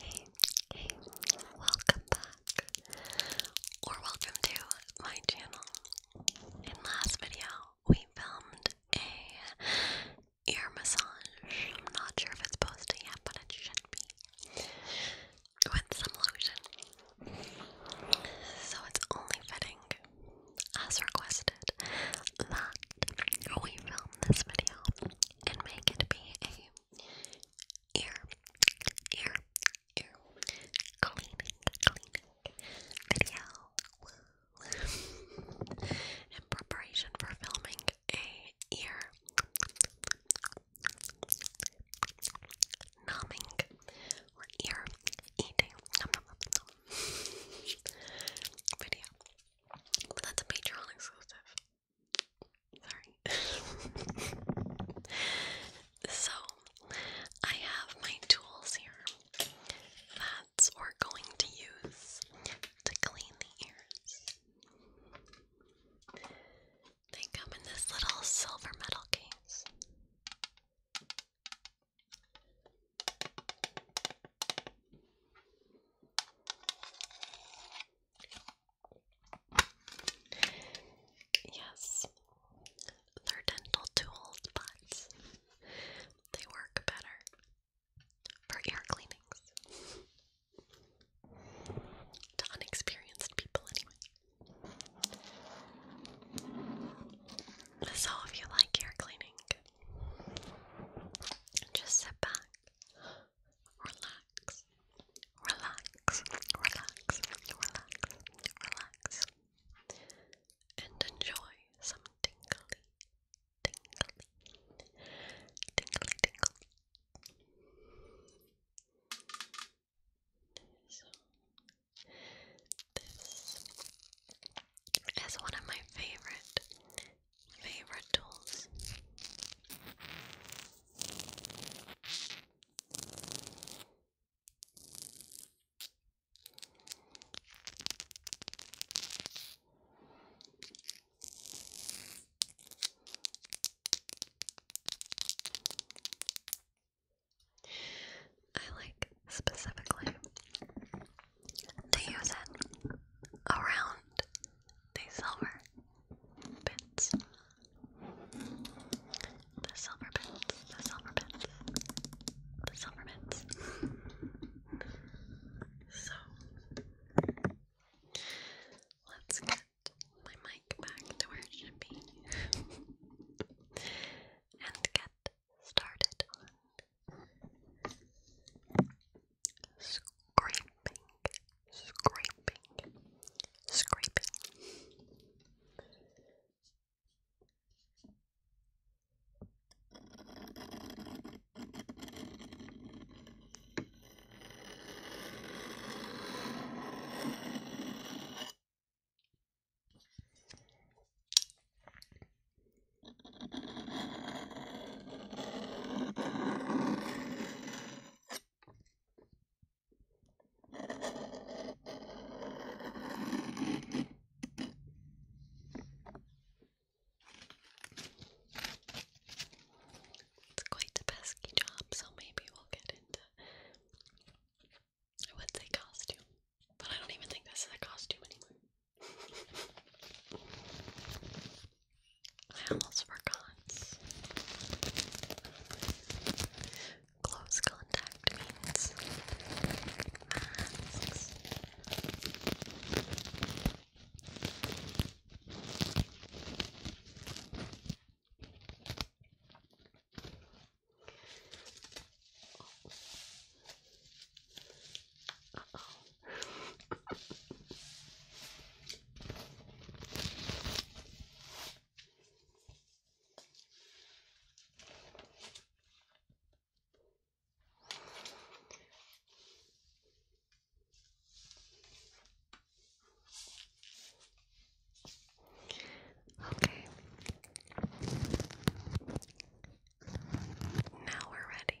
hey, hey, welcome back, or welcome to my channel. In last video, we filmed a ear massage. I'm not sure if it's posted yet, but it should be. With some lotion. So it's only fitting, as requested, that we film this video and make it be a ear, ear, ear cleaning, cleaning video in preparation for filming a ear numbing or ear eating video. But that's a Patreon exclusive. Sorry. so, I have my tools here that we're going to use to clean the ears. They come in this little silver metal case. Yes, they're dental tools, but they work better for ear cleanings. to unexperienced people, anyway. So, if you like ear cleaning, just sit back relax, relax, relax, relax, relax, and enjoy some tingly, tingly, tingly, tingle. this is one of my favorite favorite tools. I like specifically to use it around the silver bits. The silver bits, the silver bits, the silver bits. so, let's get my mic back to where it should be and get started scraping, scraping, scraping. It's quite a pesky job, so maybe we'll get into I would say costume, but I don't even think this is a costume anymore. I almost forgot. Close contact means Okay. Now we're ready.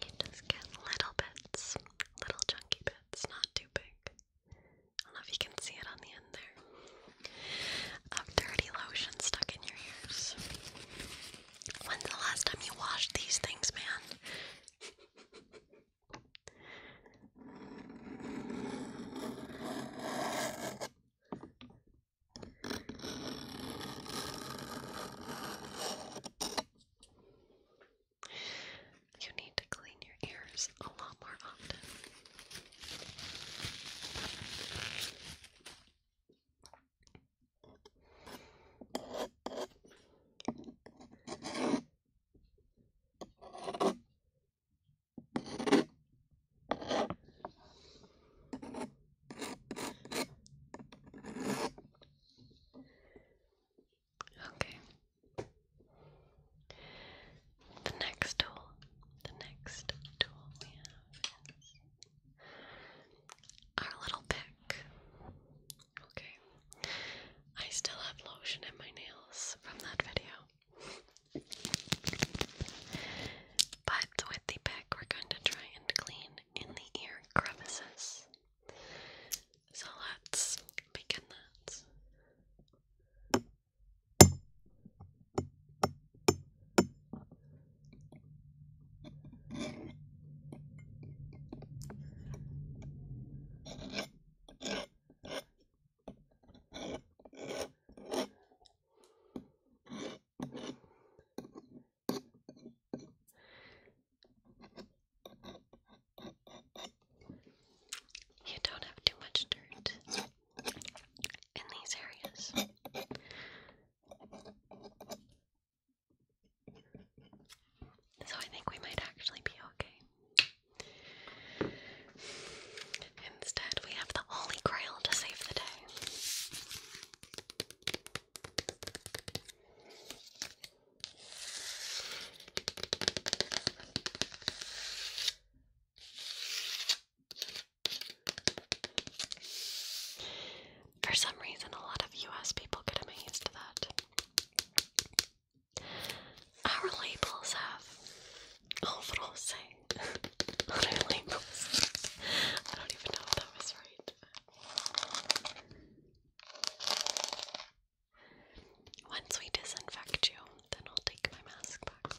You just get little bits, little chunky bits, not too big. I don't know if you can see it on the end there. Of dirty lotion stuck in your ears. When's the last time you washed these things, man? You need to clean your ears a lot more often. Okay. The next tool, the next tool we have is our little pick. Okay. I still have lotion in my nails from that video. But with the pick, we're going to try and clean in the ear crevices. So let's begin that. You don't have too much dirt in these areas. So I think we might actually be okay. Instead, we have the Holy Grail to save the day. For some reason, a lot of US people get amazed at that. Our labels have all rose on our labels. I don't even know if that was right. Once we disinfect you, then I'll take my mask back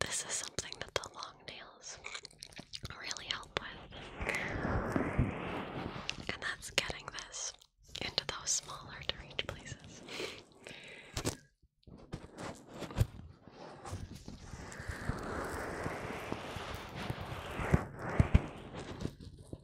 This is something that the long nails really help with. And that's getting this into those smaller to reach places.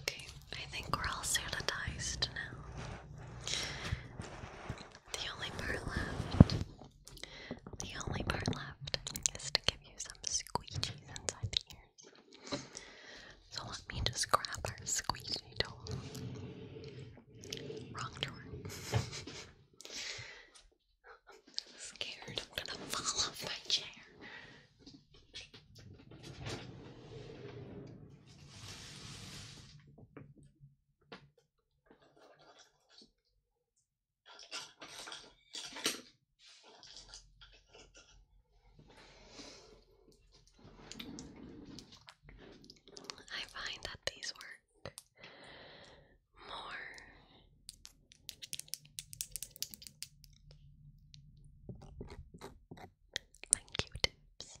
Okay, I think we're all sanitized now. The only part left, the only part left is to give you some squeegees inside the ears. So let me just grab our squeegee tool. Wrong drawer. I'm scared I'm gonna fall off my chair. I find that these work more than Q-tips.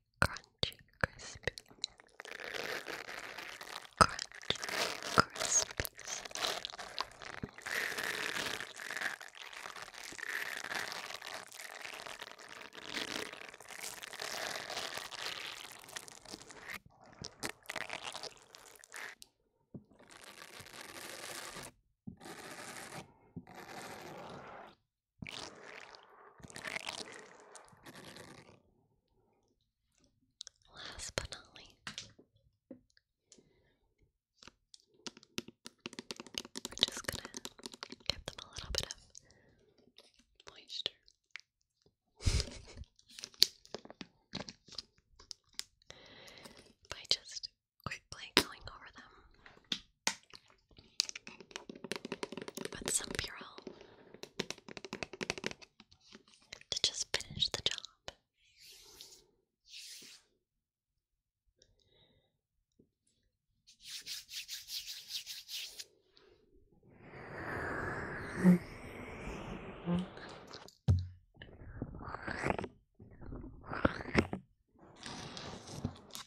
crunchy, crispy. Crunchy, crispy. Last but not least, we're just gonna give them a little bit of moisture. By just quickly going over them with some Purell to just finish the job.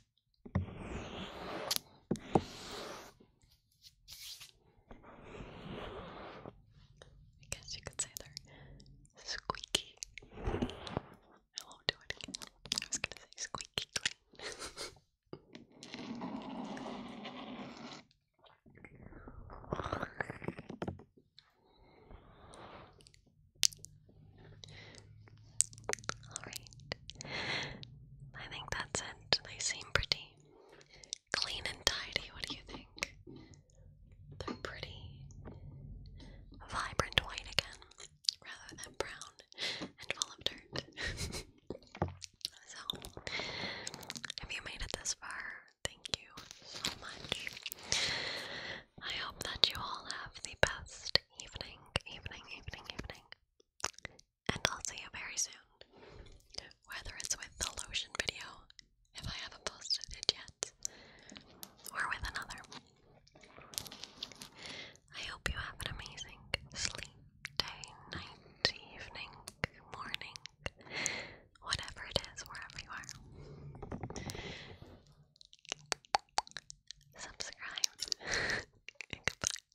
I guess you could say they're squeaky. I won't do it I was gonna say squeaky Alright. I think that's it they seem pretty clean and tidy. What do you think? They're pretty vibrant white again, rather than brown and full of dirt. so, if you made it this far, thank you so much. I hope that you all have the best evening, evening, evening, evening and I'll see you very soon. Whether it's with the lotion video, if I haven't posted it yet, or with another. I hope you have an amazing sleep, day, night, evening, morning, whatever it is, wherever you are. Subscribe. Goodbye.